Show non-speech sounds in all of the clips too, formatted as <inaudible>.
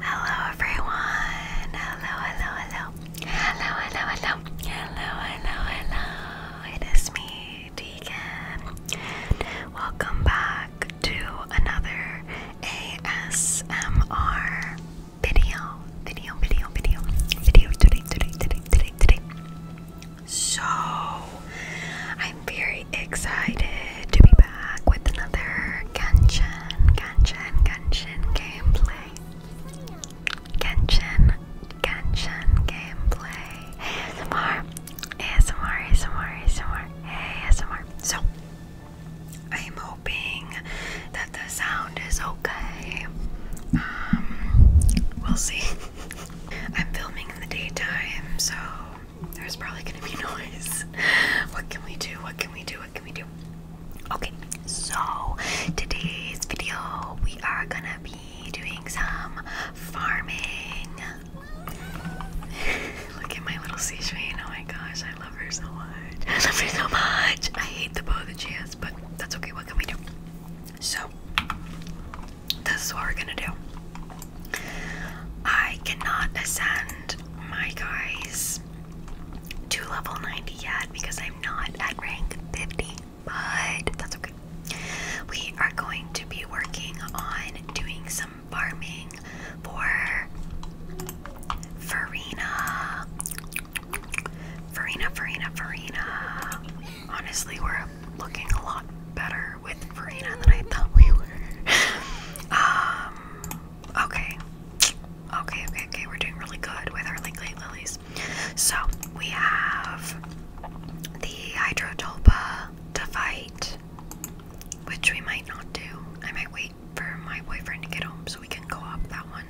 Hello everyone. Hello, hello, hello. Hello, hello, hello. Hello, hello, hello. It is me, Deacon. Welcome back to another ASMR video. Video, video, video. Video today, today, today, today, today. So I'm very excited to be back with another Genshin, Genshin, Genshin gameplay. Genshin, Genshin gameplay. ASMR, ASMR, ASMR, ASMR, ASMR. So I'm hoping that the sound is okay. Um, we'll see. <laughs> I'm filming in the daytime, so there's probably gonna be <laughs> noise. What can we do? What can we do? What can we do? Okay, so today's video we are gonna be doing some farming. <laughs> Look at my little sea train. Oh my gosh, I love her so much. I love her so much. I hate the bow that she has, but that's okay. What can we do? So, this is what we're gonna do. I cannot ascend my guys to level 90 yet because I'm not at rank 50, but that's okay. We are going to be working on doing some farming for Farina. Farina, Farina, Farina honestly, we're looking a lot better with Verena than I thought we were. <laughs> um, okay. Okay, okay, okay. We're doing really good with our link late lilies. So we have the Hydrotulpa to fight, which we might not do. I might wait for my boyfriend to get home so we can go up that one.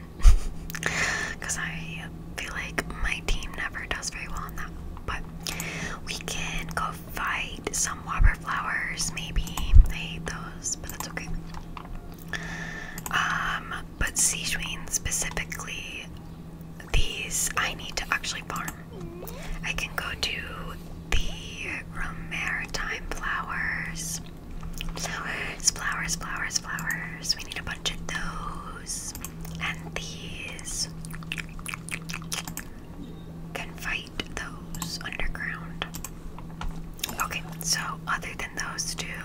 Because <laughs> I feel like my team never does very well on that. But that. We can go fight some whopper flowers, maybe. I hate those, but that's okay. Um, but Sichuan specifically, these I need to actually farm. I can go to the maritime flowers. Flowers, flowers, flowers, flowers. We need a bunch of those. And these can fight those underground. Okay, so other than those two,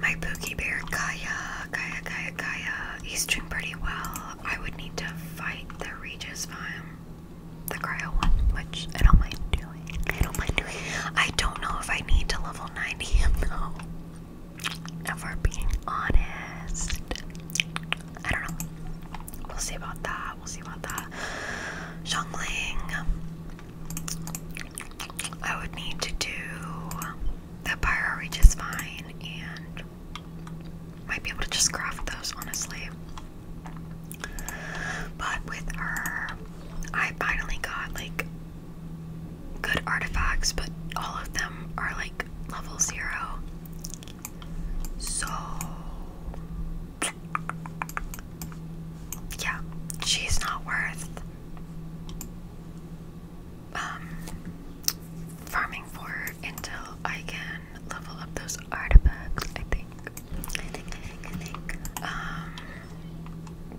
my Pookie Bear Kaya, Kaya, Kaya, Kaya, he's doing pretty well. I would need to fight the Regis Vime, the Cryo one, which I don't mind doing. I don't mind doing. I don't know if I need to level 90 him <laughs> If we being honest, I don't know. We'll see about that. We'll see about that. Zhongling. I would need to do the pyro reach fine and might be able to just craft those honestly. But with her, I finally got like good artifacts, but all of them are like level zero. So, yeah, she's not worth um, farming for until I can level up those artifacts. I think. I think. Um.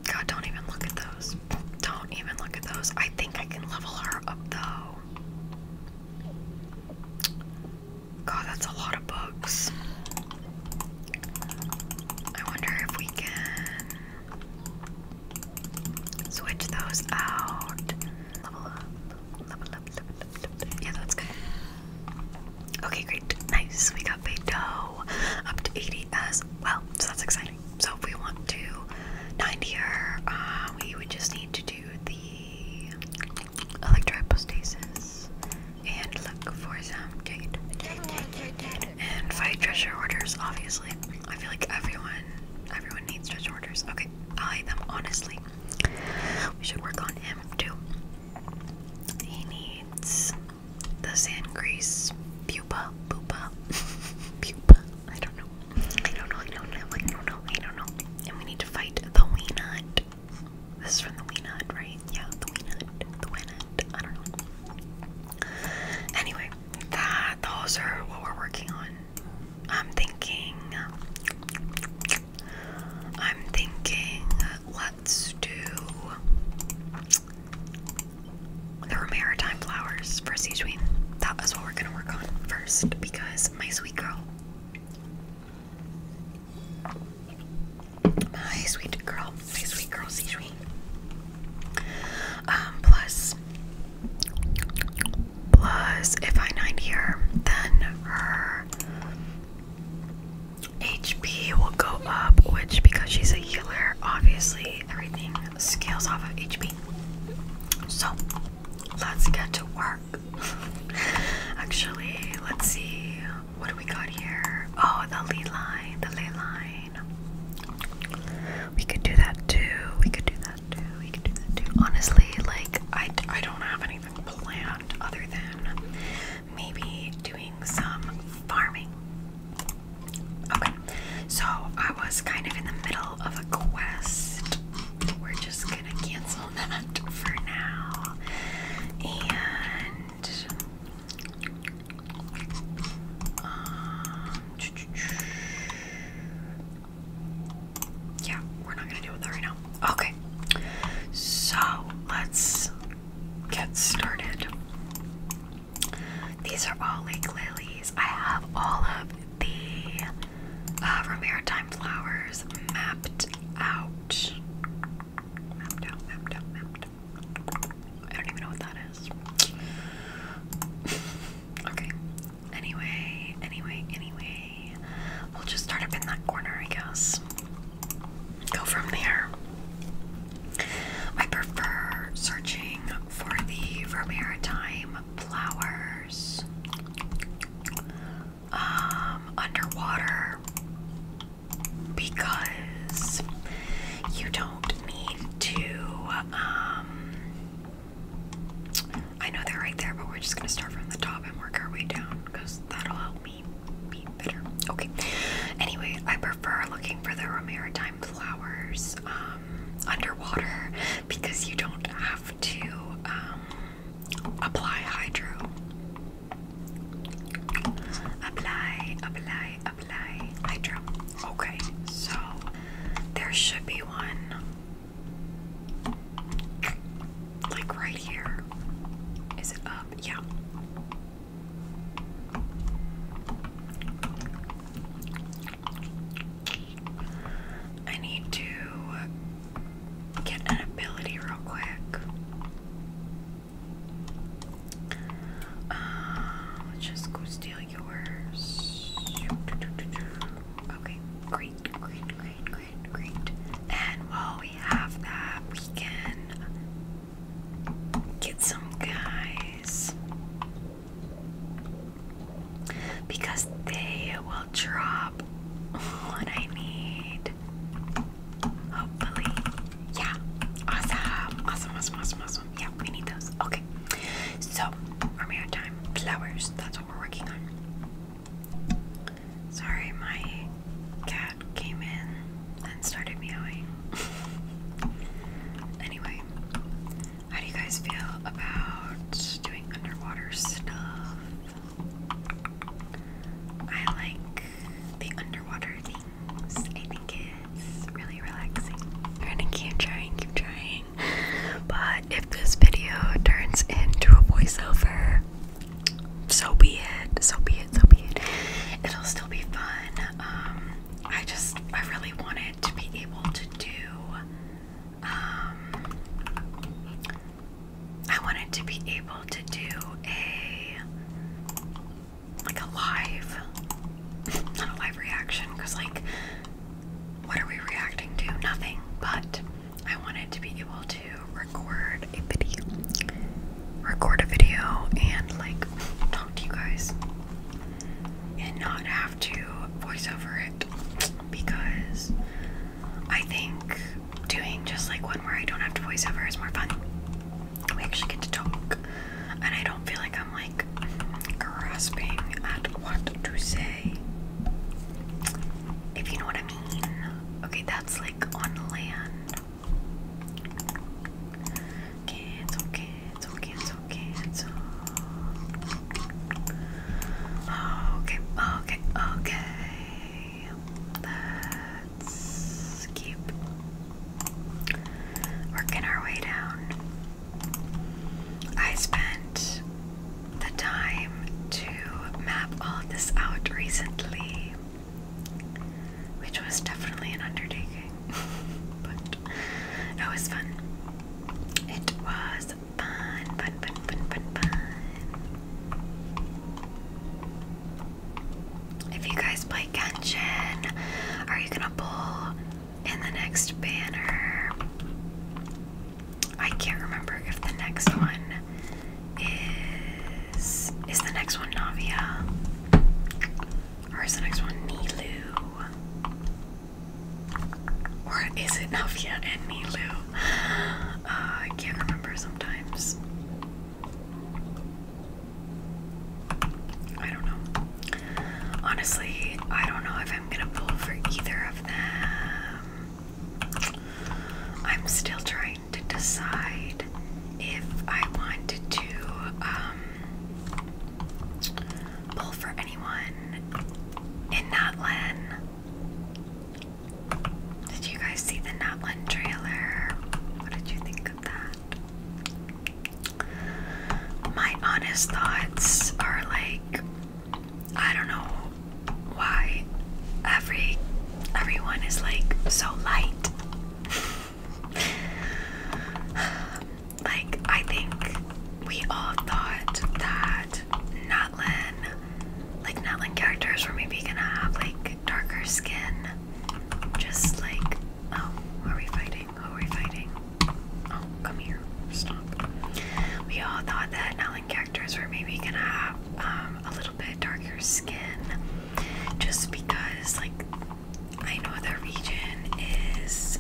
God, don't even look at those. Don't even look at those. I think I can level her up though. God, that's a lot of books. I wonder if we can switch those out. Yeah, that's good. Okay, great. Nice. We got Beidou up to 80 as well, so that's exciting. So if we want to 90 her, um, we would just need to do the electrohypostasis and look for some date And fight treasure orders, obviously. I feel like everyone everyone needs treasure orders. Okay, I like them honestly. We should work on him too. He needs the sand grease pupa pupa <laughs> pupa I don't know. I don't know. I don't know. I don't know. I don't know. And we need to fight the Weenut. This is from the Weenut, right? Yeah, the Weenut. The Weenut. I don't know. Anyway, that those are what we're working on. I'm thinking. I'm thinking. Let's do. There maritime flowers for Sijuin that is what we're gonna work on first because my sweet girl, my sweet girl, my sweet girl, see sweet. Um, plus, plus, if I 90 here, then her HP will go up, which because she's a healer, obviously everything scales off of HP. So, let's get to work. <laughs> Actually, let's see what we got here. Oh, the ley line, the ley line. We could do that too. We could do that too. We could do that too. Honestly, like I, I don't have anything planned other than maybe doing some farming. Okay, so I was kind of in the middle of a quest. We're just gonna cancel that for now. And um, yeah, we're not gonna do with that right now. Okay, so let's get started. These are all like lilies. I have all of the uh, from Maritime Flowers mapped out. I don't even know what that is. <laughs> okay. Anyway, anyway, anyway. We'll just start up in that corner, I guess. Go from there. I prefer searching for the Vermeer flowers, um, underwater because you don't need to. Um, I know they're right there, but we're just gonna start from the top and work our way down because that'll help me be better. Okay. Anyway, I prefer looking for the maritime flowers um, underwater because you don't have to um, apply hydro. Apply, apply, apply hydro. Okay, so there should be one like right here. Is it up? Yeah. I need to get an ability real quick. let's uh, just go steal yours. Okay, great, great, great, great, great. And while we have that, we can get some guys because they will drop what I need. Hopefully. Yeah. Awesome. Awesome. Awesome. Awesome. Awesome. Yeah, we need those. Okay. So we time. Flowers. That's what we're working on. Sorry, my cat came in and started meowing. <laughs> anyway, how do you guys feel about doing underwater stuff? I like the underwater things. I think it's really relaxing. We're gonna keep trying, keep trying. But if this video turns into a voiceover, so be it, so be it, so be it. It'll still be fun. Um, I just, I really wanted to be able to do um, I wanted to be able to do a like a live, <laughs> not a live reaction, because like, what are we reacting to? Nothing. But I wanted to be able to record a video, record a video, and like talk to you guys, and not have to voice over it because I think doing just like one where I don't have to voice over is more fun. We actually get to talk, and I don't feel like I'm like grasping at what to say. If you know what I mean. Okay, that's like on land. it's okay, oh, it's okay, oh, it's okay, oh, it's okay. Okay, okay, okay. Let's keep working our way down. I spent the time to map all of this out recently, which was definitely an undertaking, <laughs> but it was fun. It was if you guys play Genshin, are you gonna pull in the next banner? I can't remember if the next one is. Is the next one Navia? Or is the next one Nilu? Or is it Navia and Nilu? Uh, I can't remember sometimes. I don't know. Honestly, I don't know if I'm gonna pull for either of them. I'm still trying to decide if I wanted to um, pull for anyone in that Natlan did you guys see the Nutland trailer? What did you think of that? My honest thoughts are like I don't know why every everyone is like so light. <sighs> like I think we all thought that Notlin, like Notlin characters were maybe gonna have like darker skin. Just like, oh, are we fighting? Oh, are we fighting? Oh, come here, stop. We all thought that Notlin characters were maybe gonna have um, a little bit darker skin, just because like I know the region is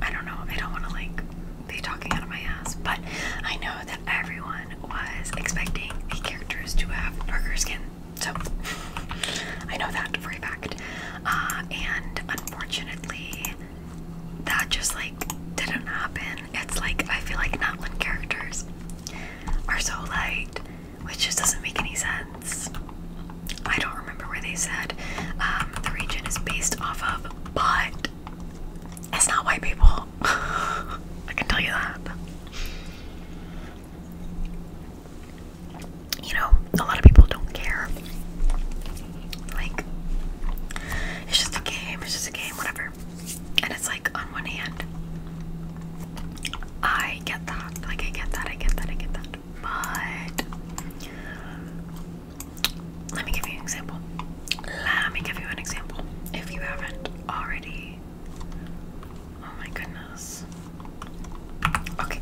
I don't know, I don't want to like be talking out of my ass, but I know that everyone was expecting the characters to have burger skin, so I know that for a fact. Uh, and unfortunately, that just like didn't happen. It's like I feel like not one characters are so light, which just doesn't make any sense. I don't remember where they said um, the region is based off of, but it's not white people. <laughs> I can tell you that. You know, a lot of people don't care. Like, it's just a game, it's just a game, whatever. And it's like, on one hand, I get that. Like, I get that, I get that, I get that. But let me give you an example. Let me give you an example. If you haven't already. Oh my goodness. Okay.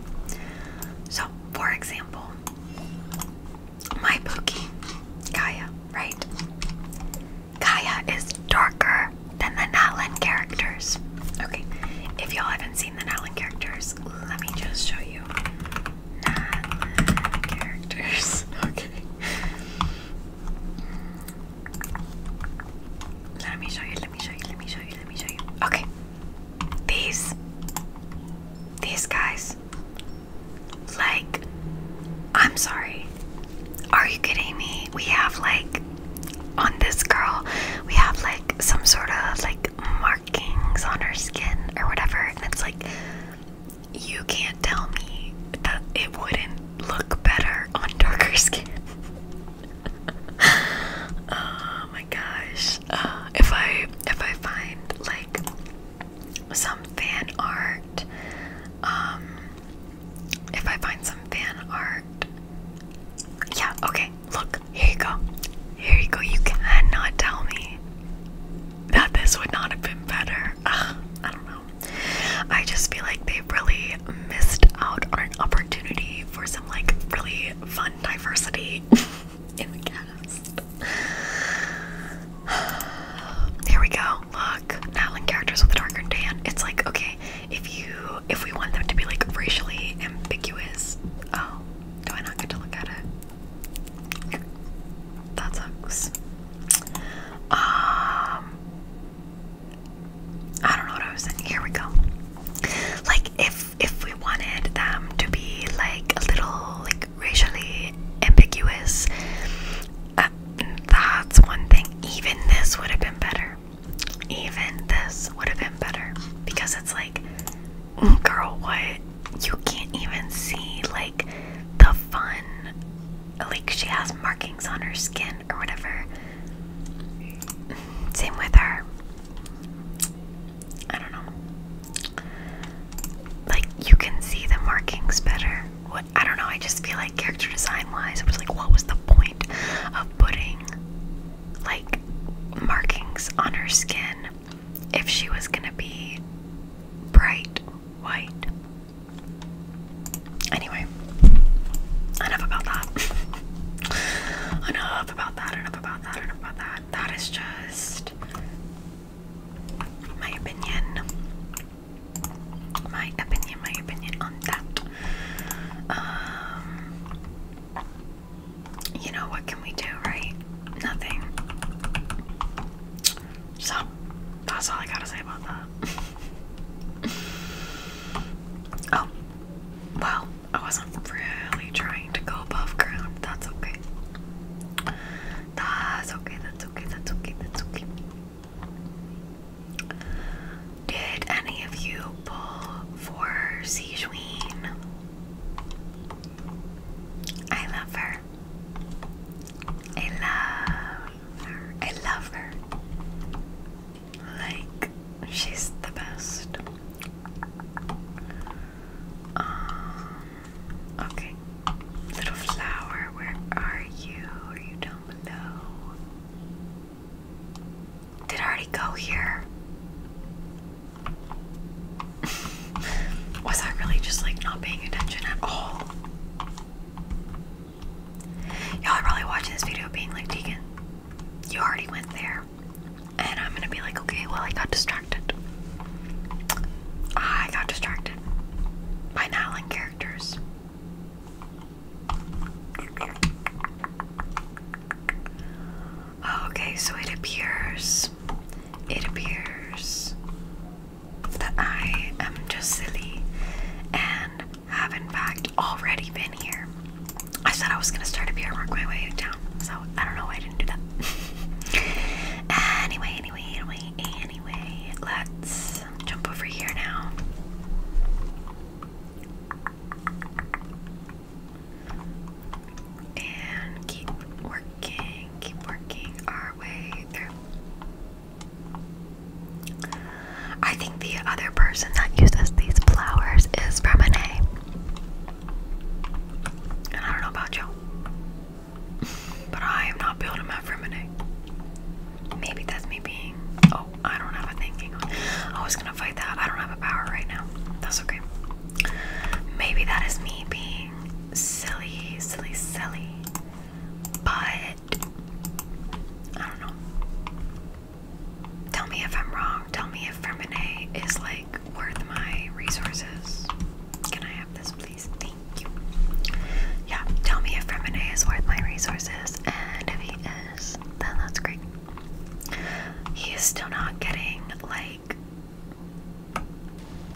So, for example, my Pookie, Kaya, right? Kaya is darker than the Natlin characters. Okay, if y'all haven't seen the Natlin characters, let me just show you not characters. <laughs> Okay. Let me show you, let me show you, let me show you, let me show you. Okay. These. These guys. Like, I'm sorry. Are you kidding me? We have like, on this girl, we have like some sort of like mark markings on her skin or whatever, and it's like you can't tell me that it wouldn't look better on darker <laughs> skin. oh my gosh! Uh, if I if I find like some fan art, um, if I find some fan art, yeah, okay. Look, here you go. Here you go. You cannot tell me that this would not have been better. I don't know. I just feel like they really missed out on an opportunity for some like really fun diversity <laughs> in the cast. <sighs> Here we go. Look, Natlin characters with a darker tan. It's like okay, if you if we want them to be like racially ambiguous, oh, do I not get to look at it? That sucks. Um, I don't know what I was Here we go. Like, if if we wanted them to be like a little like racially ambiguous, uh, that's one thing. Even this would have been better. Even this would have been better because it's like, mm, girl, what? you can't even see like the fun like she has markings on her skin or whatever same with her i don't know like you can see the markings better what i don't know i just feel like character design wise it was like what was the point of putting like markings on her skin if she was gonna be bright white. Anyway, enough about that. <laughs> enough about that, enough about that, enough about that. That is just my opinion. My opinion, my opinion on that. Um you know, what can we do, right? Nothing. So, that's all I gotta say about that. <laughs> oh, well, I wasn't really trying to go above ground. That's okay. That's okay, that's okay, that's okay, that's okay. Did any of you pull for Sijuin? I love her. I love her. I love her. Like, she's the best. Um, okay. Little flower, where are you? Are you down below? Did I already go here? <laughs> Was I really just like not paying attention at all? Y'all are probably watching this video being like, Deacon, you already went there. And I'm gonna be like, okay, well, I got distracted. I got distracted by Nylon characters. Oh, okay, so it appears, it appears that I am just silly and have, in fact, already been here. I said I was gonna start up here and work my way down, so I don't know why I didn't do that. <laughs> anyway, anyway, anyway, anyway, let's jump over here now and keep working, keep working our way through. I think the other person that uses these flowers is Remine. And I don't know about you, <laughs> but I am not building my Remine. Maybe that's me being. Oh, I don't have a thing. I was gonna fight that. I don't have a power right now. That's okay. Maybe that is me being silly, silly, silly, but I don't know. Tell me if I'm wrong. Tell me if Fermine is like worth my resources. Can I have this, please? Thank you. Yeah, tell me if Fermine is worth my resources, and if he is, then that's great. He is still not getting like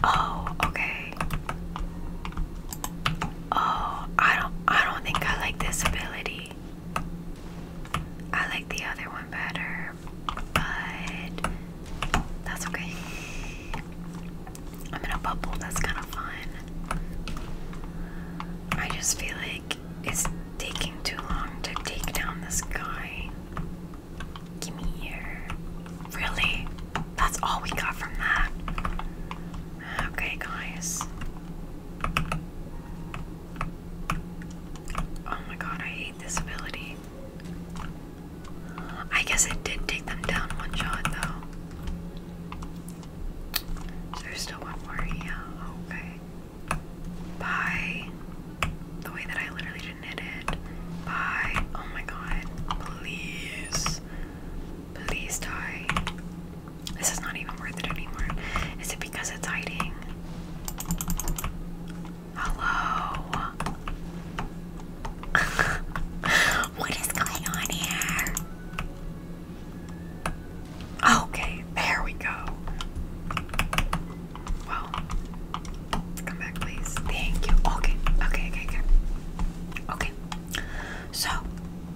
oh okay oh I don't I don't think I like this ability I like the other one better but that's okay I'm in a bubble that's kind of fun I just feel like it's taking too long to take down this guy Give me here. Really? That's all we got from that. Okay, guys. Oh my god, I hate this ability. I guess it did take them down one shot, though. there's still one more. here. okay. By the way that I literally knitted by oh my god, please. Please die. This is not even worth it anymore. Is it because it's hiding? Hello. <laughs> what is going on here? Okay, there we go. Well, Come back, please. Thank you. Okay, okay, okay, okay. Okay. So,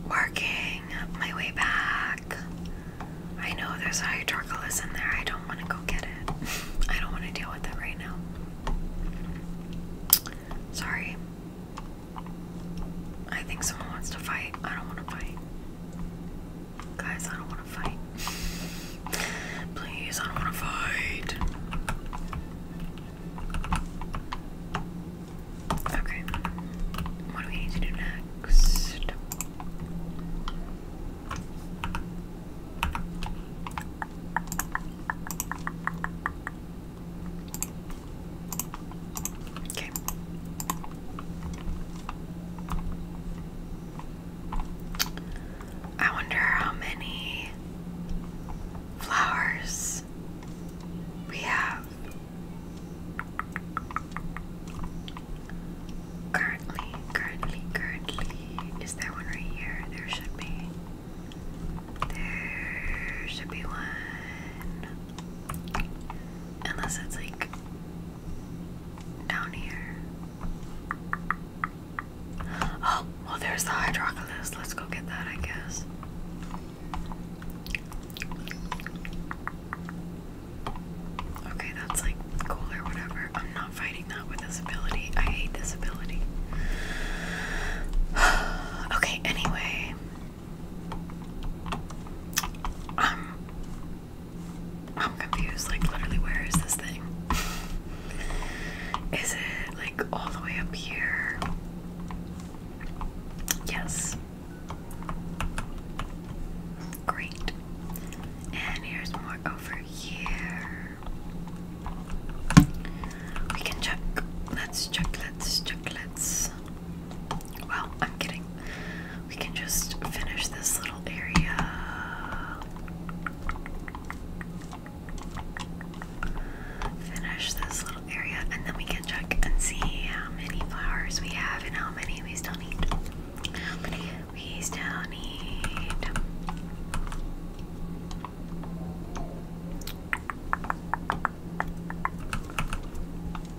working my way back. I know there's hydrocolus in there. I don't want to go get it. <laughs> I don't want to deal with that right now. Sorry. I think someone wants to fight. I don't want to fight. Guys, I don't want to fight. <laughs> Please, I don't want to fight. Okay. What do we need to do next? Okay. I wonder how many flowers we have currently, currently, currently. Is there one right here? There should be. There should be one. Unless it's like down here. Oh, well, there's the hydrocolus. Let's go get that, I guess. Okay, that's like cool or whatever. I'm not fighting that with this ability. I hate this ability. <sighs> okay, anyway. Um I'm confused, like literally where is this thing? <laughs> Is it like all the way up here? Yes. Great. And here's more over here. We can check. Let's check, let's check, let's. Well, I'm kidding. We can just finish this little area finish this little area and then we can check and see how many flowers we have and how many we still need. we still need.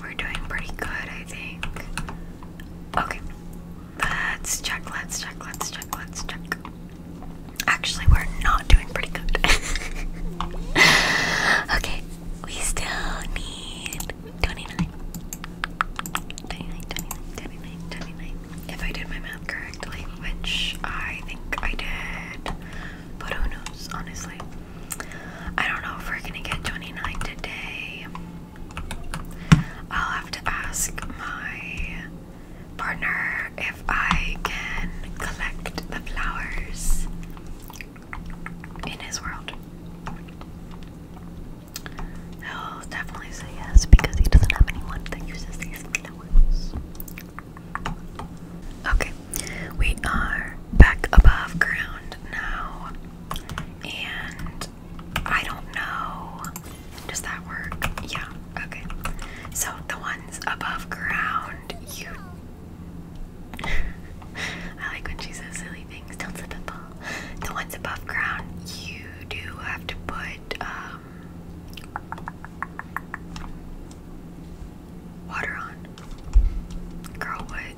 We're doing pretty good, I think. Okay. Let's check, let's check, let's check, let's check. Actually, we're not doing pretty good. <laughs> okay, we still need 29. If I did my math correctly, which I think I did, but who knows, honestly. I don't know if we're gonna get 29 today. I'll have to ask my partner if I can collect the flowers in his world. He'll definitely say yes because he doesn't have anyone that uses these flowers. Okay, we are back above ground now, and I don't know does that work? Yeah, okay. So the ones above ground, you. <laughs> I like when she says silly things, don't slip and fall. The ones above ground, you do have to put um, water on. Girl, what?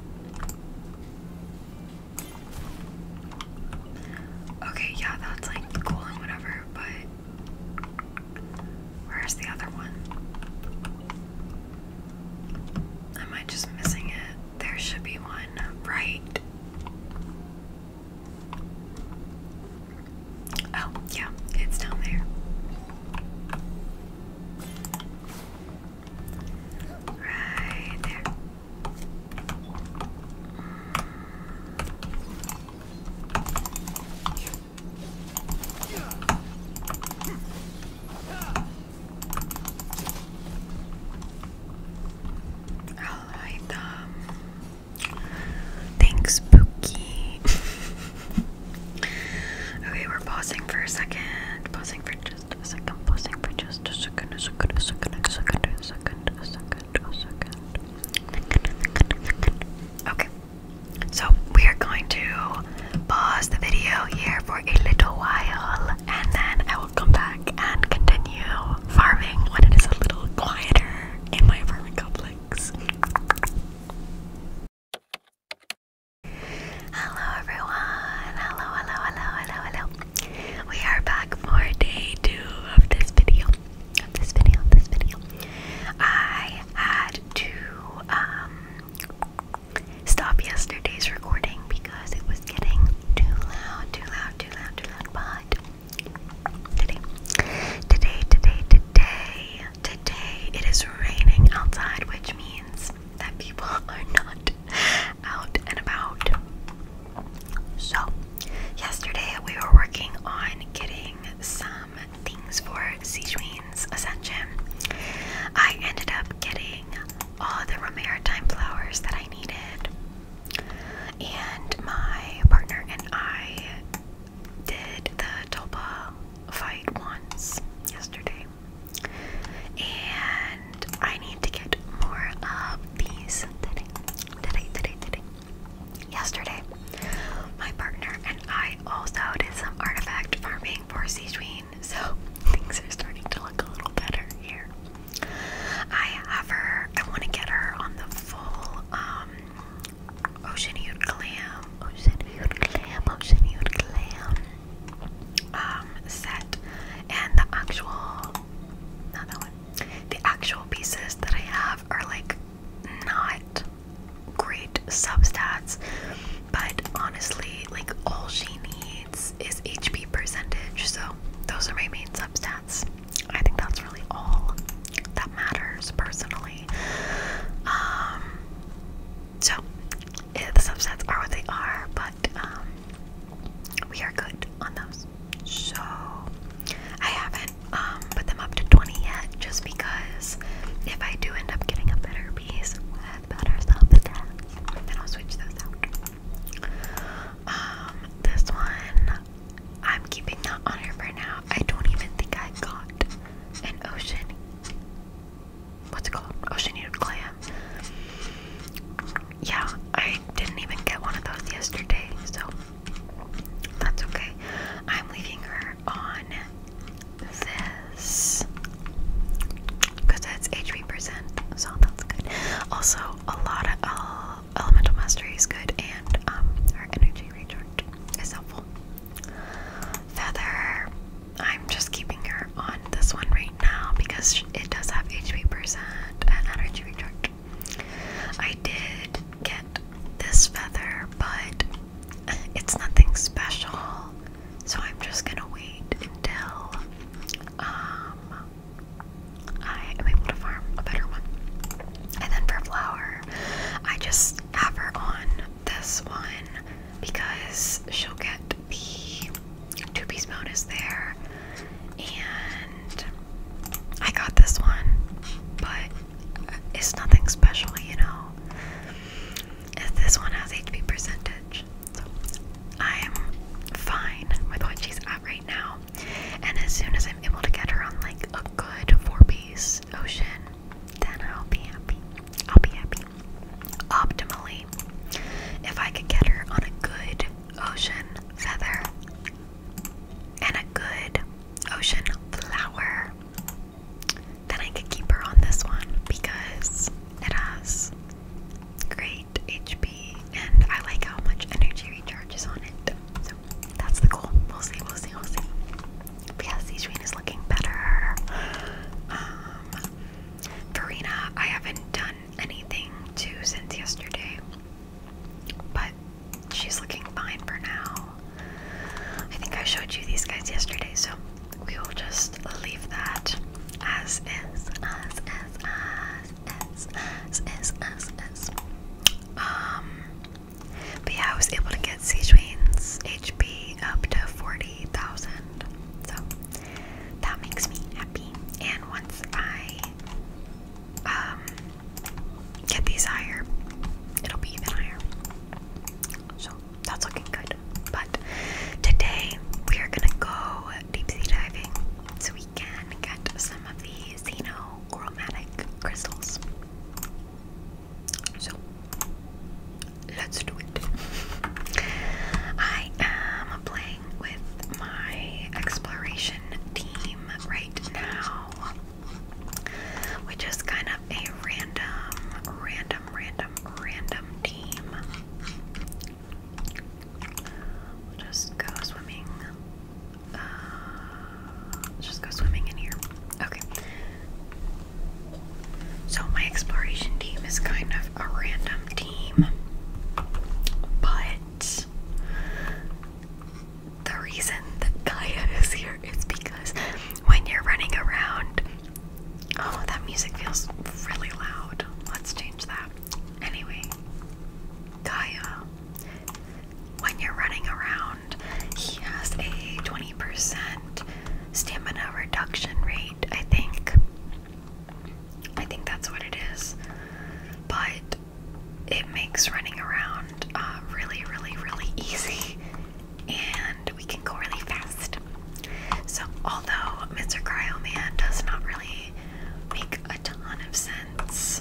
Okay, yeah, that's like cool and whatever, but. Where's the other one? Am I just missing it? There should be one right. Oh, yeah, it's down there. Right there. Alright, um, thanks, Pookie. <laughs> okay, we're pausing for a second. Pausing for just a second. Pausing for just a second. A second. A second. A second. A second. A second. Okay, so we are going to pause the video here for a little while and then I will come back and continue farming when it is a little quieter in my apartment complex. Hello everyone, hello, hello, hello, hello, hello. We are back for day two of this video this video, this video, I had to um, stop yesterday's recording because it was getting too loud, too loud, too loud, too loud. But today, today, today, today, today, it is raining outside, which means that people <laughs> are not out and about. So, yesterday we were working on getting some um, things for Sichuan's Ascension. I ended up getting all the maritime flowers that I needed, and my partner and I did the Tulpa fight once yesterday. And I need to get more of these today, today, today, today. Yesterday, my partner and I also did some artifact farming for Sichuan, so <laughs> things are starting to look a little better here. I have her, I want to get her on the full um, Ocean Youth Clam, Ocean Youth Clam, Ocean Youth Clam um, set, and the actual, not that one, the actual pieces that I have are like not great substats, but honestly, like all she needs is HP percentage. So those are my main substats. I think that's really all that matters personally. Um, so yeah, the substats are what they are, but um, we are good on those. So I haven't um, put them up to 20 yet, just because if I do end up getting a better piece, we better self and I'll switch those out. Um, this one, I'm keeping that on here for now. I don't even think I got an ocean. What's it called? Ocean Eater Clam. Yeah, I didn't even get one of those yesterday, so that's okay. I'm leaving her on this because that's HP percent, so that's good. Also, a lot of uh, elemental mastery is good, and um, her energy recharge is helpful. Feather, I'm just keeping her on this one right now because it does have HP percent and energy recharge. I did get this feather, but it's nothing special, so I'm just gonna wait until um, I am able to farm a better one. And then for flower, I just have her on this one because she'll get the two piece bonus there. And I got this one, but it's nothing special, you know. If this one has HP percentage, so I'm fine with what she's at right now. And as soon as I'm able to get her on like a good four-piece ocean, then I'll be happy. I'll be happy. Optimally, if I could get her on a good ocean feather and a good ocean flower then I could keep her on this one because it has great HP and I like how much energy recharges on it. So that's the goal. We'll see, we'll see, we'll see. But yeah, Sejuin is looking better. Um, I haven't done anything to since yesterday, but she's looking fine for now. I think I showed you these guys yesterday, so we will just leave that as is, as is, as is, as is, as is. Um, but yeah, I was able to get Sichuan's HP up to 40,000, so that makes me happy. And once I um get these higher, it'll be even higher. So that's looking good. But today we are gonna go deep sea diving so we can get some of the xenochromatic crystals. So let's do it. I am playing with my exploration team right now which is kind of a random, random, random, random team. we just go swimming. Uh, just go swimming in here. Okay. So, my exploration team is kind of a random team, but the reason that Gaia is here is because when you're running around, oh, that music feels really loud. Let's change that. Anyway, Gaia, when you're running around, he has a 20% stamina reduction rate, I think. I think that's what it is. But it makes running around uh, really, really, really easy and we can go really fast. So, although Mr. Cryo Man does not really make a ton of sense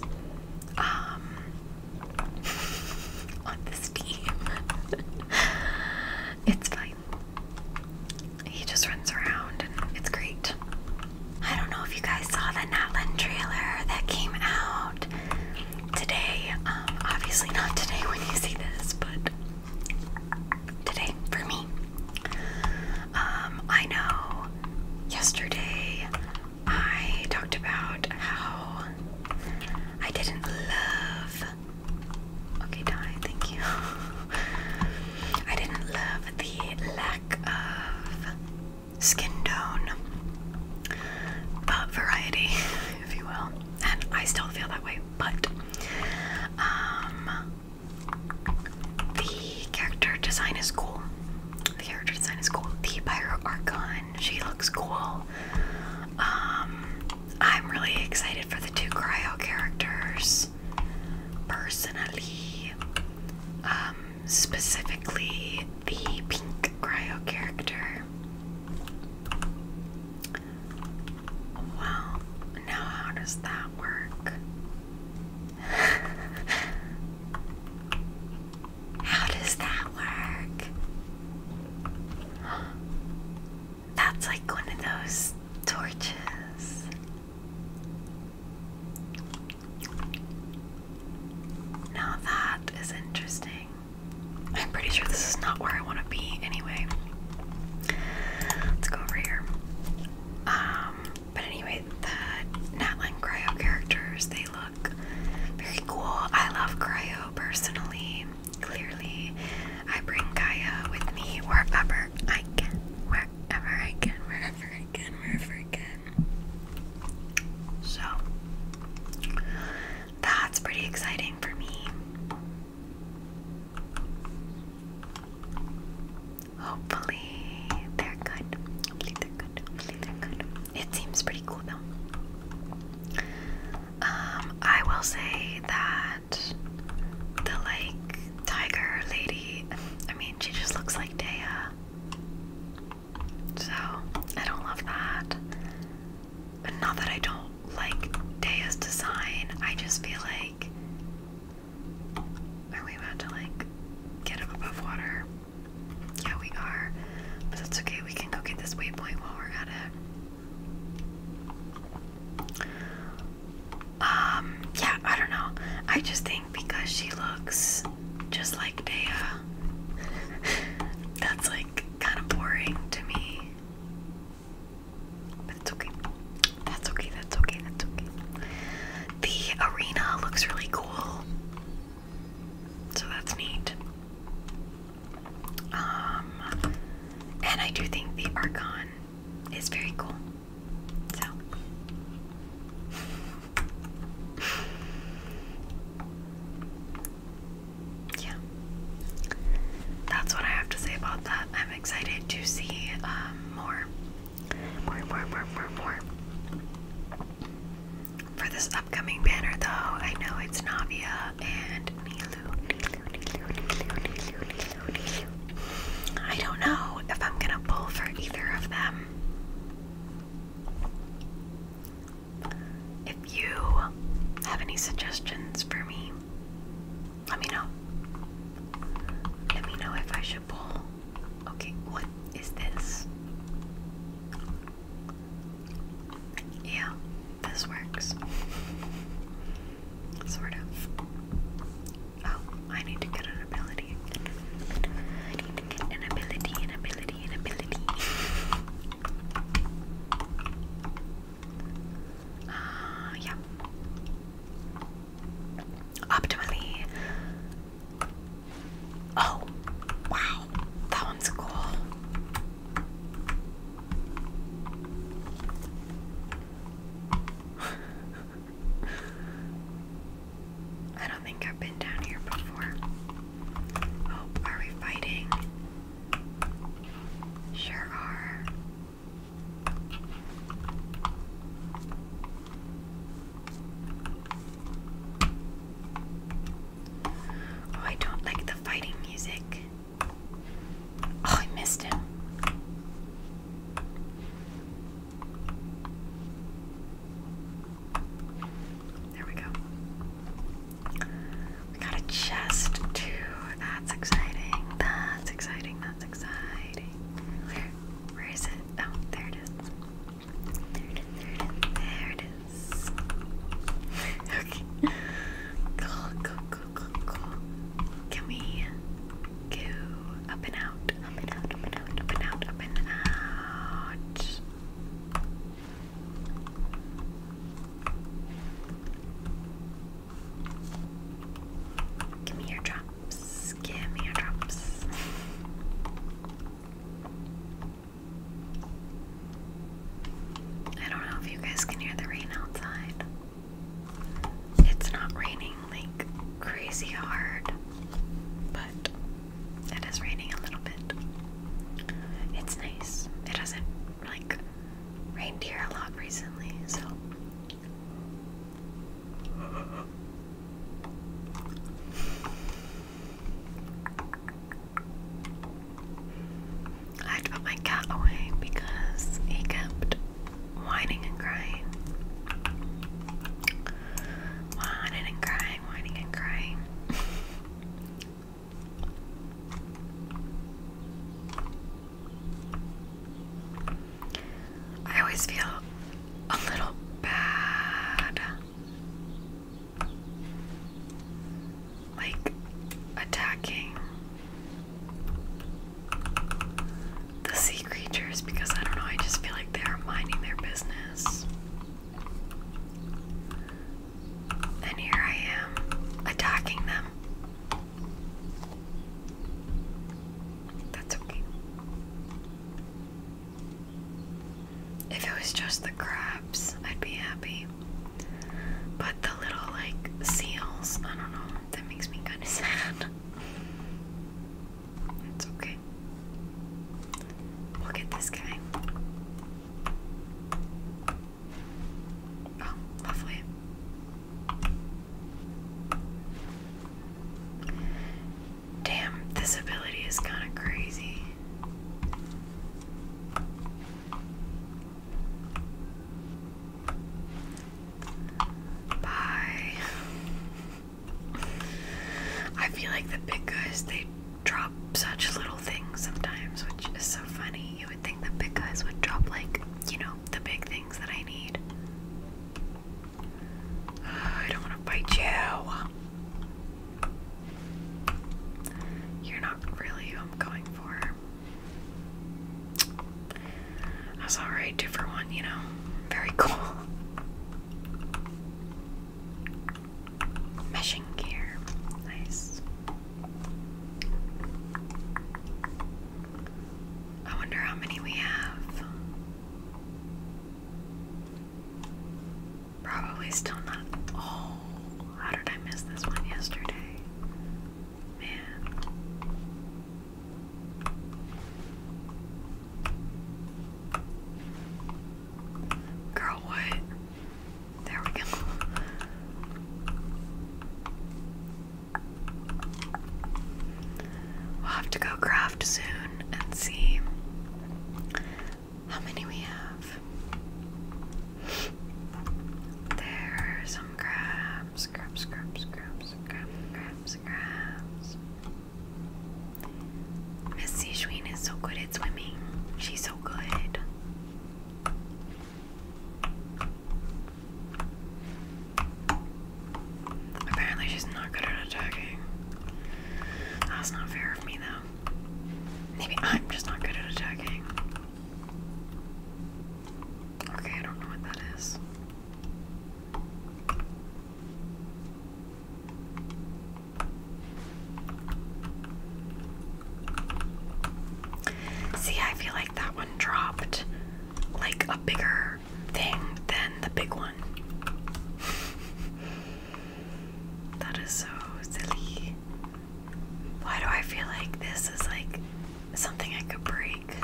um, <laughs> on this team, <laughs> it's fine. He just runs around and it's great. I don't know if you guys saw the Natlan trailer that came out today. Um, obviously, not today when you see this, but today for me. Um, I know yesterday I talked about how I didn't love. Okay, Di, thank you. <laughs> I didn't love the lack of skin tone, but variety. <laughs> if you will. And I still feel that way, but um, the character design is cool. The character design is cool. The Pyro Archon, she looks cool. Um, I'm really excited for the two cryo characters personally. Um, specifically the pink cryo character. Wow, now how does that work? <laughs> how does that work? That's like one of those torches. Now that is interesting. I'm pretty sure this is not where I want to be anyway. Let's go over here. Um, but anyway, the Natlan Cryo characters, they look very cool. I love Cryo personally, clearly. I bring Gaia with me wherever I can, wherever I can, wherever I can, wherever I can. So, that's pretty exciting for me. Hopefully they're good. Hopefully they're good. Hopefully they're good. It seems pretty cool though. Um, I will say that the like tiger lady, I mean she just looks like Dea. So I don't love that not that I don't like Dea's design, I just feel like. Are we about to like get up above water? Yeah, we are. But that's okay, we can go get this waypoint while we're at it. Um, yeah, I don't know. I just think because she looks just like Dea, <laughs> that's like like kind of boring to me. But it's okay. That's okay, that's okay, that's okay. The arena looks really cool. So that's neat. Um and I do think the Archon is very cool. So <laughs> yeah, that's what I have to say about that. I'm excited to see um, more, more, more, more, more, more. For this upcoming banner, though, I know it's Navia and Nilu. I don't know if I'm gonna pull for either of them. If you have any suggestions for me, let me know. Let me know if I should pull. Okay, what is this? Yeah, this works. <laughs> sort of. Oh, I need to get an ability. I need to get an ability, an ability, an ability. <laughs> Uh, yeah. Optimally. Oh, wow. That one's cool. <laughs> I don't think I've been down here before. Oh, are we fighting? Sure are. Oh, I don't like the fighting music. Oh, I missed him. There we go. We got a chest too. That's exciting. That's exciting. That's exciting. Where? Where is it? Oh, there it is. There it is. There it is. There it is. okay. Cool. Cool. Cool. Cool. Cool. Can we go up and out? Up and out. Up and out. Up and out. Up and out. Give me your drops. Give me your drops. I don't know if you guys can hear the rain outside. It's not raining like crazy hard, but it is raining a little bit. It's nice. It doesn't like reindeer a lot recently, so I had to put my cat away because he kept whining and crying. Whining and crying, whining and crying. <laughs> I always feel a little bad like attacking the sea creatures because I don't know, I just feel like they're minding their business. And here I am attacking them. That's okay. If it was just the crabs, I'd be happy. But the little, like, seals, I don't know, that makes me kind of <laughs> sad. It's okay. Look at this guy. Oh, lovely. Damn, this ability is kind of crazy. Bye. I feel like the big guys, they drop such little things sometimes, which is so funny. You would think the big guys would drop, like, you know, the big things that I need. <sighs> I don't want to bite you. You're not really who I'm going for. That's alright, two for one, you know. Very cool. <laughs> Meshing gear. Nice. I wonder how many we have. Probably still not. Oh, how did I miss this one yesterday? Man. Girl, what? There we go. We'll have to go craft soon and see how many we have. There are some crabs, crabs, crabs, crabs, crabs, crabs, crabs. Miss Sichuin is so good at swimming. She's so good. Apparently she's not good at attacking. That's not fair of me though. Maybe I'm just not good at attacking. Okay, I don't know what that is. See, I feel like that one dropped like a bigger thing than the big one. <laughs> that is so silly. Why do I feel like this is like something I could break?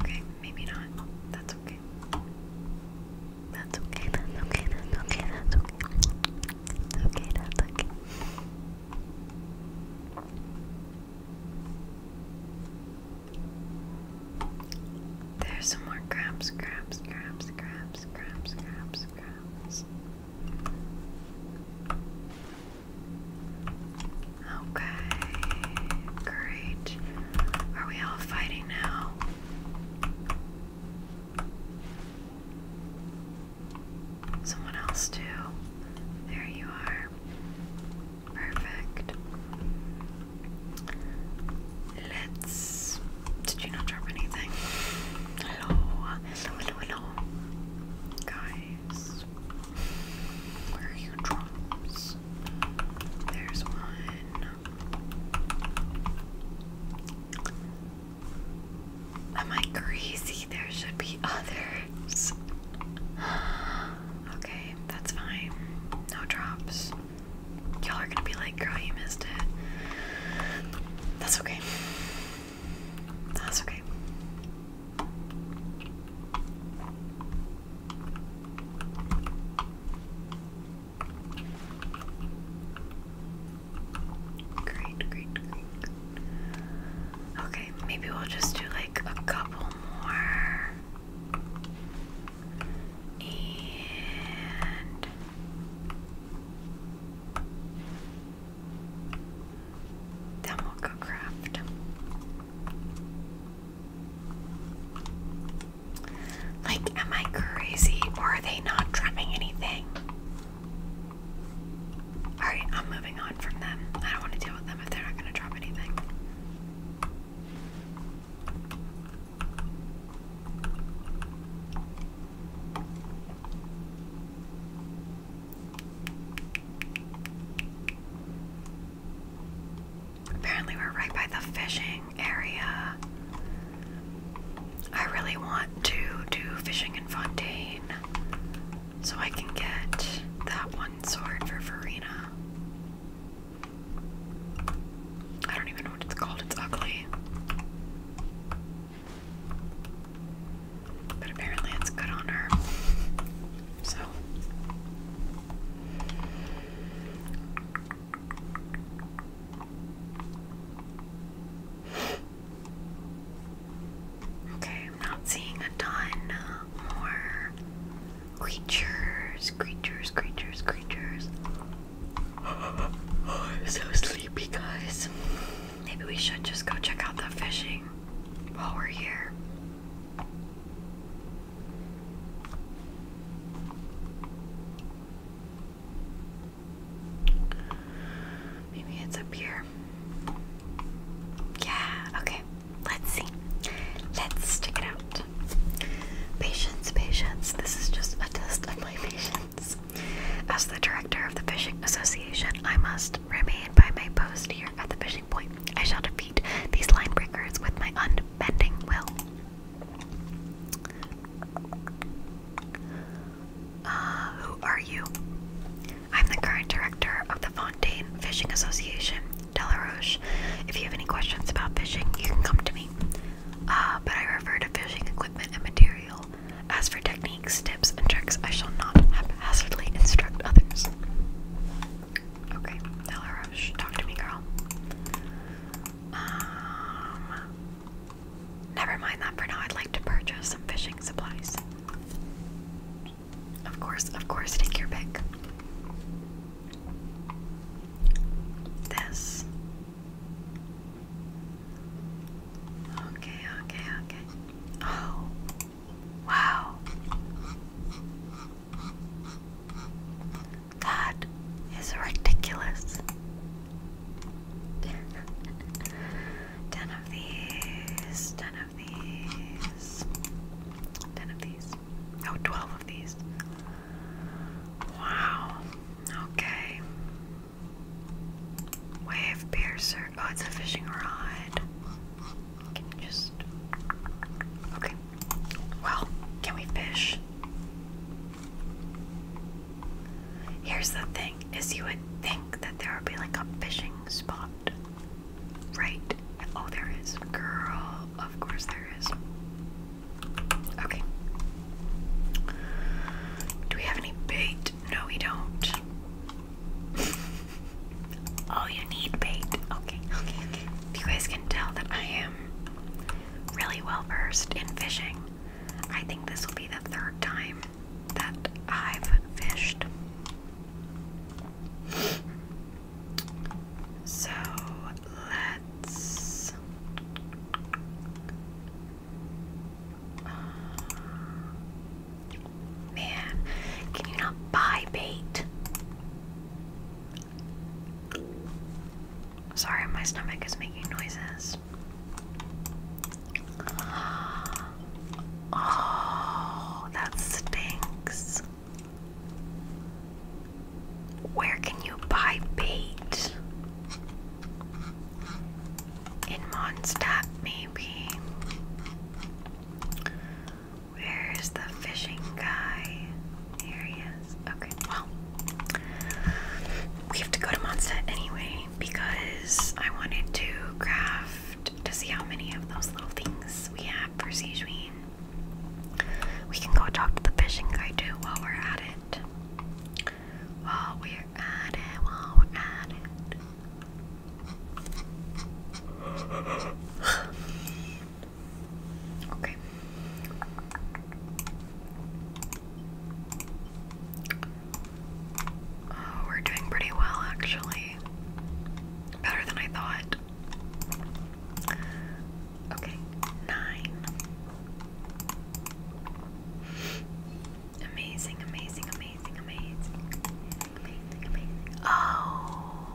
Okay, maybe not. That's okay. That's okay, that's okay, that's okay, that's okay okay, that's okay. There's some more crabs, crabs, crabs, crabs, crabs, crabs, crabs. Okay, great. Are we all fighting now? Someone else too. There you are. Perfect. Let's. Did you not drop anything? Hello. Hello, hello, Guys. Where are your drums? There's one. Am I crazy? There should be others. <gasps> okay, that's fine. No drops. Y'all are gonna be like, girl, you missed it. That's okay. That's okay. Great, great, great. Okay, maybe we'll just do like a couple more. And then we'll go craft. Like, am I crazy or are they not drumming anything? Alright, I'm moving on from them. I don't want to deal with them if they're not going to drop anything. Apparently, we're right by the fishing area. I really want to do fishing in Fontaine so I can get that one sword for Farina. I don't even know what it's called, it's ugly. But apparently it's good on her. So. Okay, I'm not seeing a ton uh, more creatures, creatures, creatures, creatures. <gasps> so sleepy, guys. Maybe we should just go check out the fishing while we're here. Maybe it's up here. Yeah, okay. Let's see. Let's check it out. Patience, patience. This is just a test my <laughs> patience. As the director of the Fishing Association, I must remain by my post here at the fishing point. I shall defeat these line breakers with my unbending will. Uh, who are you? I'm the current director of the Fontaine Fishing Association, Delaroche. If you have any questions about fishing, you can come to me. Uh, but I refer to fishing equipment and material. As for techniques, tips, and tricks, I shall not haphazardly instruct others. Okay, Delaroche, talk to me, girl. Um, Never mind that for now. I'd like to purchase some fishing supplies. Of course, of course, take your pick. This. Okay, okay, okay. Oh, wow. That is ridiculous ten of these, ten of these, ten of these. Oh, 12 of these. Wow. Okay. Wave piercer. Oh, it's a fishing rod. Can you just. Okay. Well, can we fish? Here's the thing, is you would think that there would be like a fishing spot. Right? Oh there is. Girl, of course there is. Okay. Do we have any bait? No we don't. oh <laughs> you need bait. Okay, okay, you guys can tell that I am really well versed in fishing. I think this will be the third time that I've fished. So let's uh, man, can you not buy bait? Sorry, my stomach is making noises. Oh, that stinks. Where can you buy bait? In Mondstadt, maybe. Where's the fishing guy? Here he is. Okay, well, we have to go to Mondstadt anyway because I wanted to craft to see how many of those little things we have for Sijuin. We can go talk to the fishing guy too while we're at it. While we're at it, while we're at it. <sighs> okay. Oh, we're doing pretty well actually. Better than I thought. Okay, nine. Amazing, amazing, amazing, amazing. Amazing, amazing. Oh.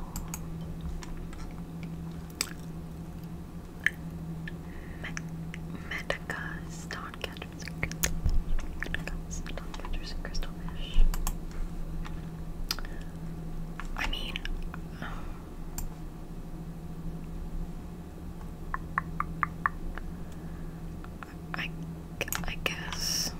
Medica Star. Podcatchers and crystalfish. I mean, I, I guess.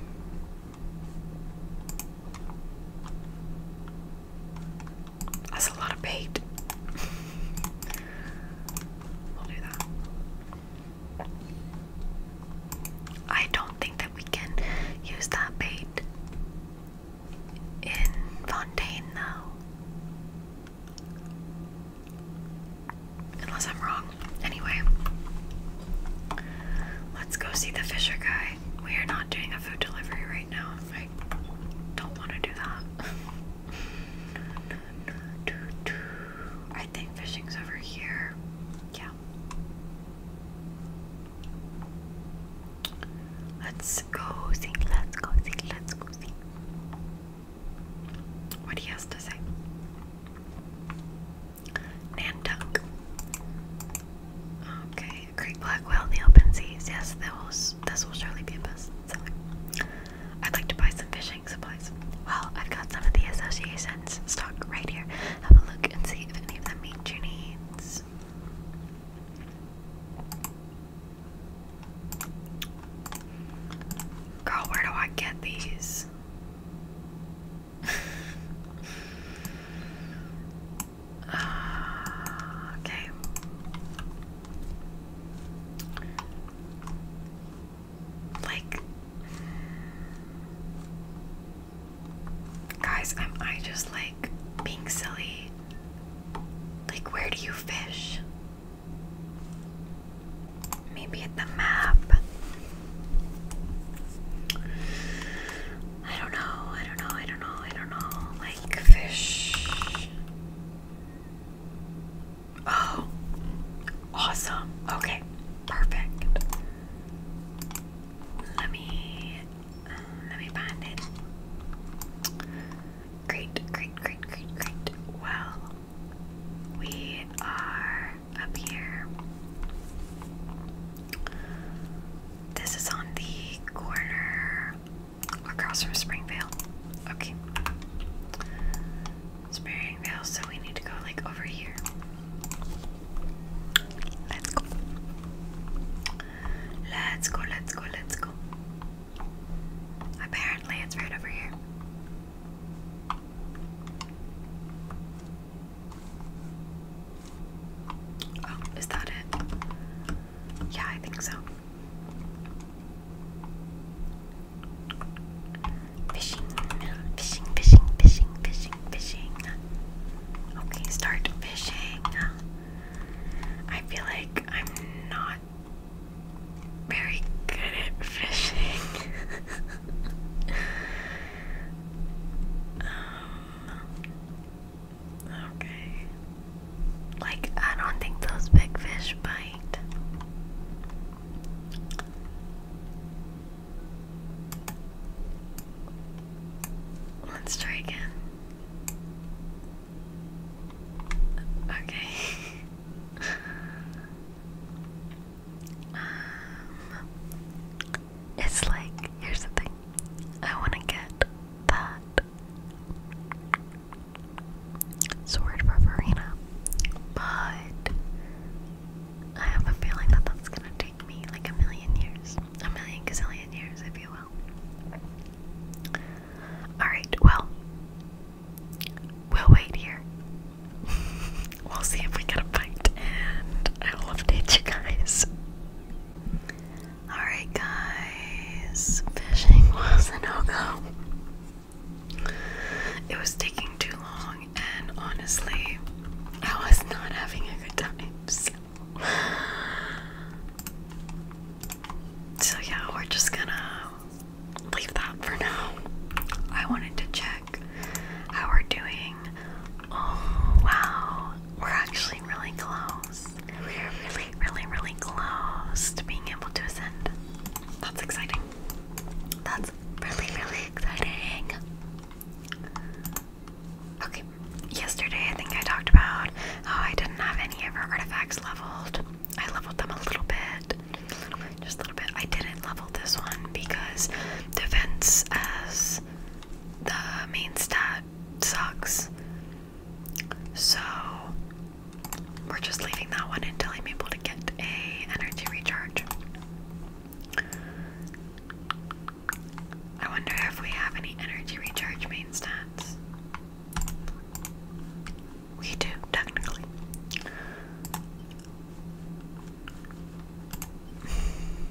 That's a lot of bait. <laughs> we'll do that. I don't think that we can use that bait in Fontaine though. Unless I'm wrong. Anyway, let's go see the fisher guy. We are not doing a food delivery right now. I don't want to do that. <laughs> I think fishing's over here. Yeah. Let's go see. Let's go see. Let's go see. What he has to say. Nantuck. Okay, Great Black Whale in Yes, that will, this will surely be a I'd like to buy some fishing well, I've got some of the associations stock right here. Have a look and see if any of them meet your needs. Girl, where do I get these? <laughs> Ah, okay. Like, guys, am I just like being silly? Like, where do you fish? Maybe at the map. I don't know, I don't know, I don't know, I don't know. Like, fish. Oh, Awesome. Okay, perfect. Let me let me find it. Great, great, great, great, great. Well, we are up here. This is on the corner across from Springvale. Okay. Sparing Vale, so we need to go like over here. Let's go. Let's go, let's go, let's go. Apparently, it's right over here. Oh, is that it? Yeah, I think so. Fishing, fishing, fishing, fishing, fishing, fishing. Okay, start fishing. I feel like I'm not very good at fishing. <laughs> um, okay. Like, I don't think those big fish bite. Let's try again. Okay. <laughs> um, it's like, here's the thing. I want to get that sword for but I have a feeling that that's gonna take me like a million years, a million gazillion years, if you will. Alright, well, we'll wait here. <laughs> we'll see if we get a bite, and I will you guys. Alright, guys, fishing was a no go. It was taking too long and honestly, I was not having a good time. So, so yeah, we're just gonna leave that for now. I wanted to check how we're doing. Oh wow, we're actually really close. We're really, really, really close to being able to ascend. That's exciting. That's really, really exciting. Okay, yesterday I think I talked about how I didn't have any of our artifacts leveled. I leveled them a little bit, just a little bit. I didn't level this one because defense as the main stat sucks. So we're just leaving that one until I'm able to get a energy recharge. I wonder if we have any energy recharge main stats. We do, technically.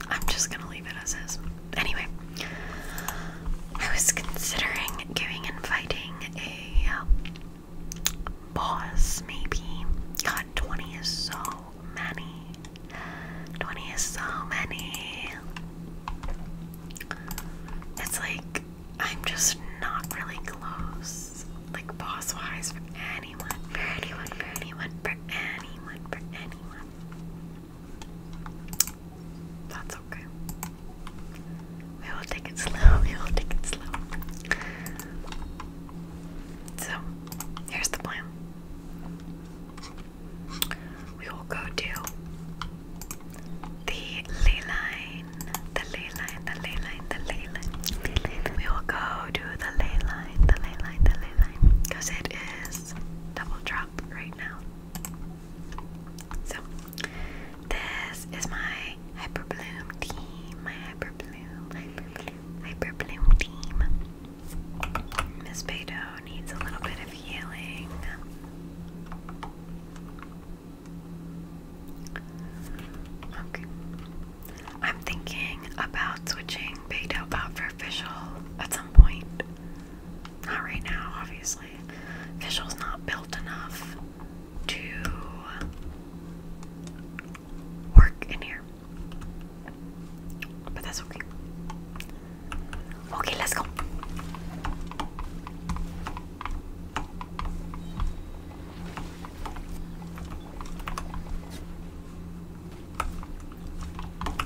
I'm just gonna leave it as is. Anyway, I was considering giving and fighting a uh, boss, maybe. God, 20 is so many. 20 is so many. It's like I'm just not really close, like boss wise, for anyone, for anyone, for anyone, for anyone, That's okay. We will take it slow, <laughs> we will take it slow. So, here's the plan. We will go do the ley line, the ley line, the ley line, the ley line. We will go to the ley line, the ley line, the ley line, because it is double drop right now. So, this is my Hyperbloom team, my Hyperbloom, Hyperbloom, Hyperbloom team. Miss Beidou needs a little bit of healing. Okay. I'm thinking about switching Beidou out for Fischl at some point. Not right now, obviously. Fischl's not built enough to work in here. But that's okay. Okay, let's go.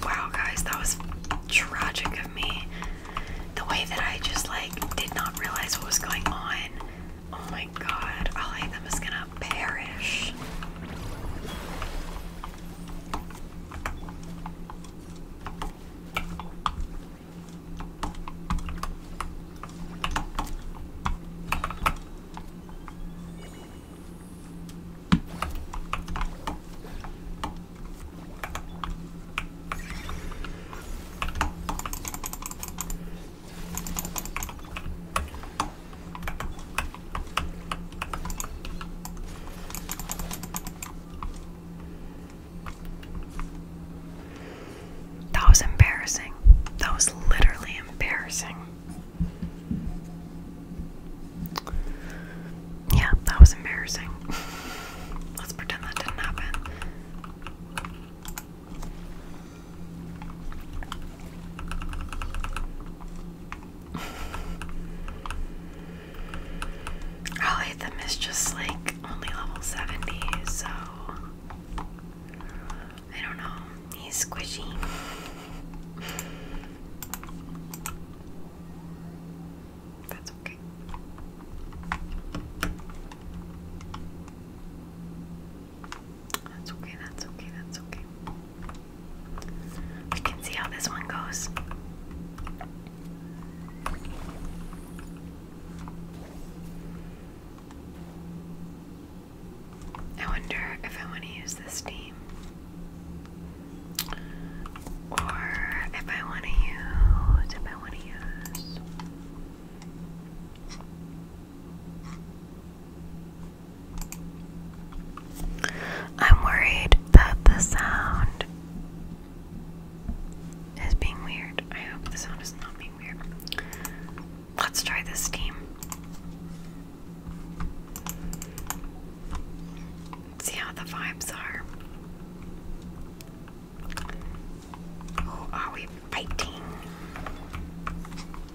Wow, guys, that was tragic of me. The way that I just like did not realize what was going on. Oh my god, all I am is gonna perish. That was embarrassing. That was literally embarrassing. Yeah, that was embarrassing. <laughs> Let's pretend that didn't happen. Alitham <laughs> is like only level 70, so I don't know. He's squishy. <laughs> That's okay. That's okay, that's okay, that's okay. We can see how this one goes. I wonder if I want to use this steam or if I want to use, if I want to use. I'm worried that the sound is being weird. I hope the sound is not being weird. Let's try this team. See how the vibes are. are we fighting?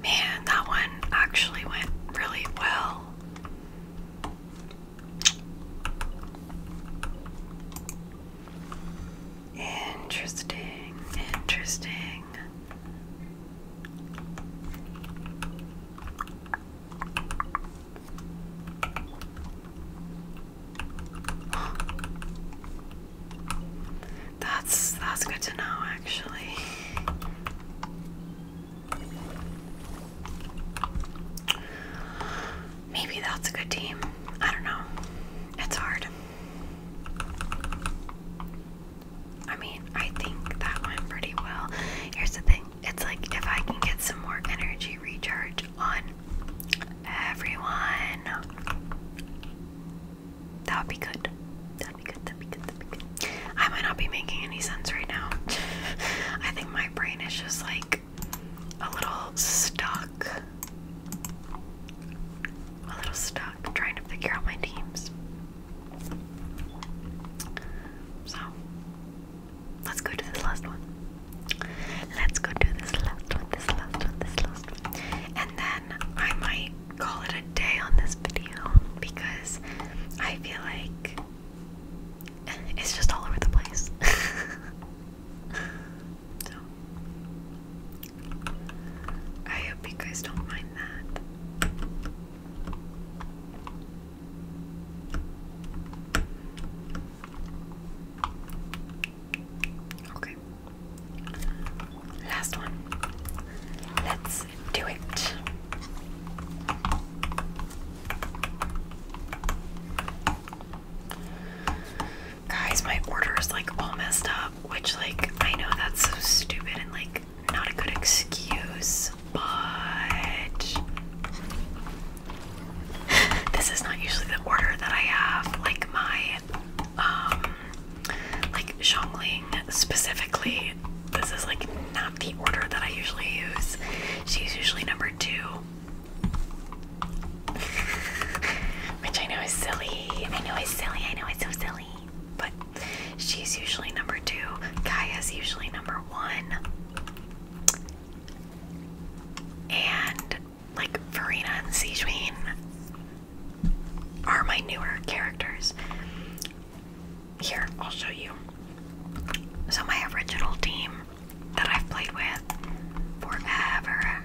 Man, that one actually went really well. Interesting, interesting. <gasps> That's that's good to know actually. Maybe that's a good team. I don't know. It's hard. I mean, I think that went pretty well. Here's the thing it's like if I can get some more energy recharge on everyone, that would be good. That'd be good, that'd be good, that'd be good. I might not be making any sense right now. <laughs> I think my brain is just like like a little stuck. A little stuck trying to figure out my teams. So, let's go to this last one. Let's go to this last one, this last one, this last one. And then I might call it a day on this video because I feel like it's just all over the place. <laughs> so I hope you guys don't mind that. Okay. Last one. Let's do it. Guys, my order is like all messed up, which like I know that's so stupid and like not a good excuse, but <laughs> this is not usually the order that I have. Like my um like Shongling specifically, this is like not the order that I usually use. She's usually number two. Which I know is silly. I know it's silly. I know it's so silly. But she's usually number two. Kaya's usually number one. And like Farina and Sijuin are my newer characters. Here, I'll show you. So my original team that I've played with forever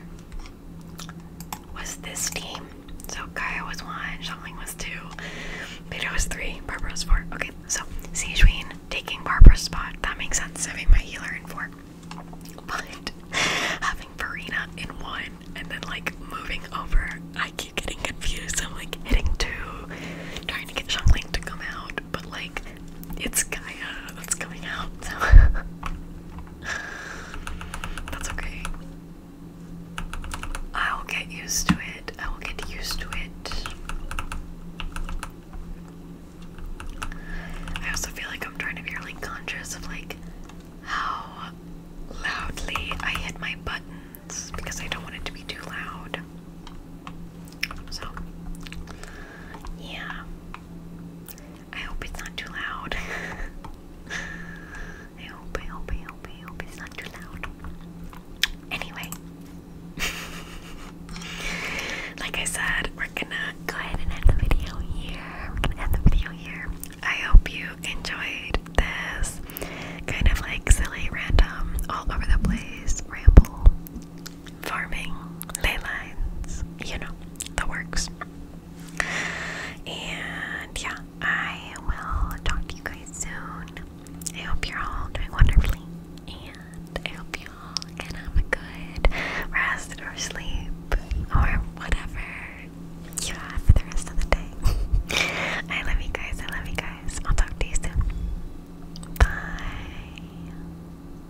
was this team. So Kaya was one, Shangling was two, Peter was three, Barbara was four. Okay, so Sijuin taking Barbara's spot. That makes sense, having my healer in four. But having Farina in one and then like moving over, I keep getting confused. I'm like hitting two, trying to get Shangling to come out, but like it's Gaia that's coming out, <laughs> that's okay. I will get used to it. I will get used to it. I also feel like I'm trying to be really conscious of like how loudly I hit my buttons because I don't want it to be too loud. So yeah. I hope it's not too loud. <laughs> I hope, I hope, I hope, I hope it's not too loud. Anyway, <laughs> like I said, we're gonna go ahead and end the video here. We're gonna end the video here. I hope you enjoyed this kind of like silly, random, all over the place ramble farming, ley you know, the works. And yeah, I will talk to you guys soon. I hope you're all doing wonderfully. And I hope you all can have a good rest or sleep or whatever you have for the rest of the day. <laughs> I love you guys. I love you guys. I'll talk to you soon. Bye.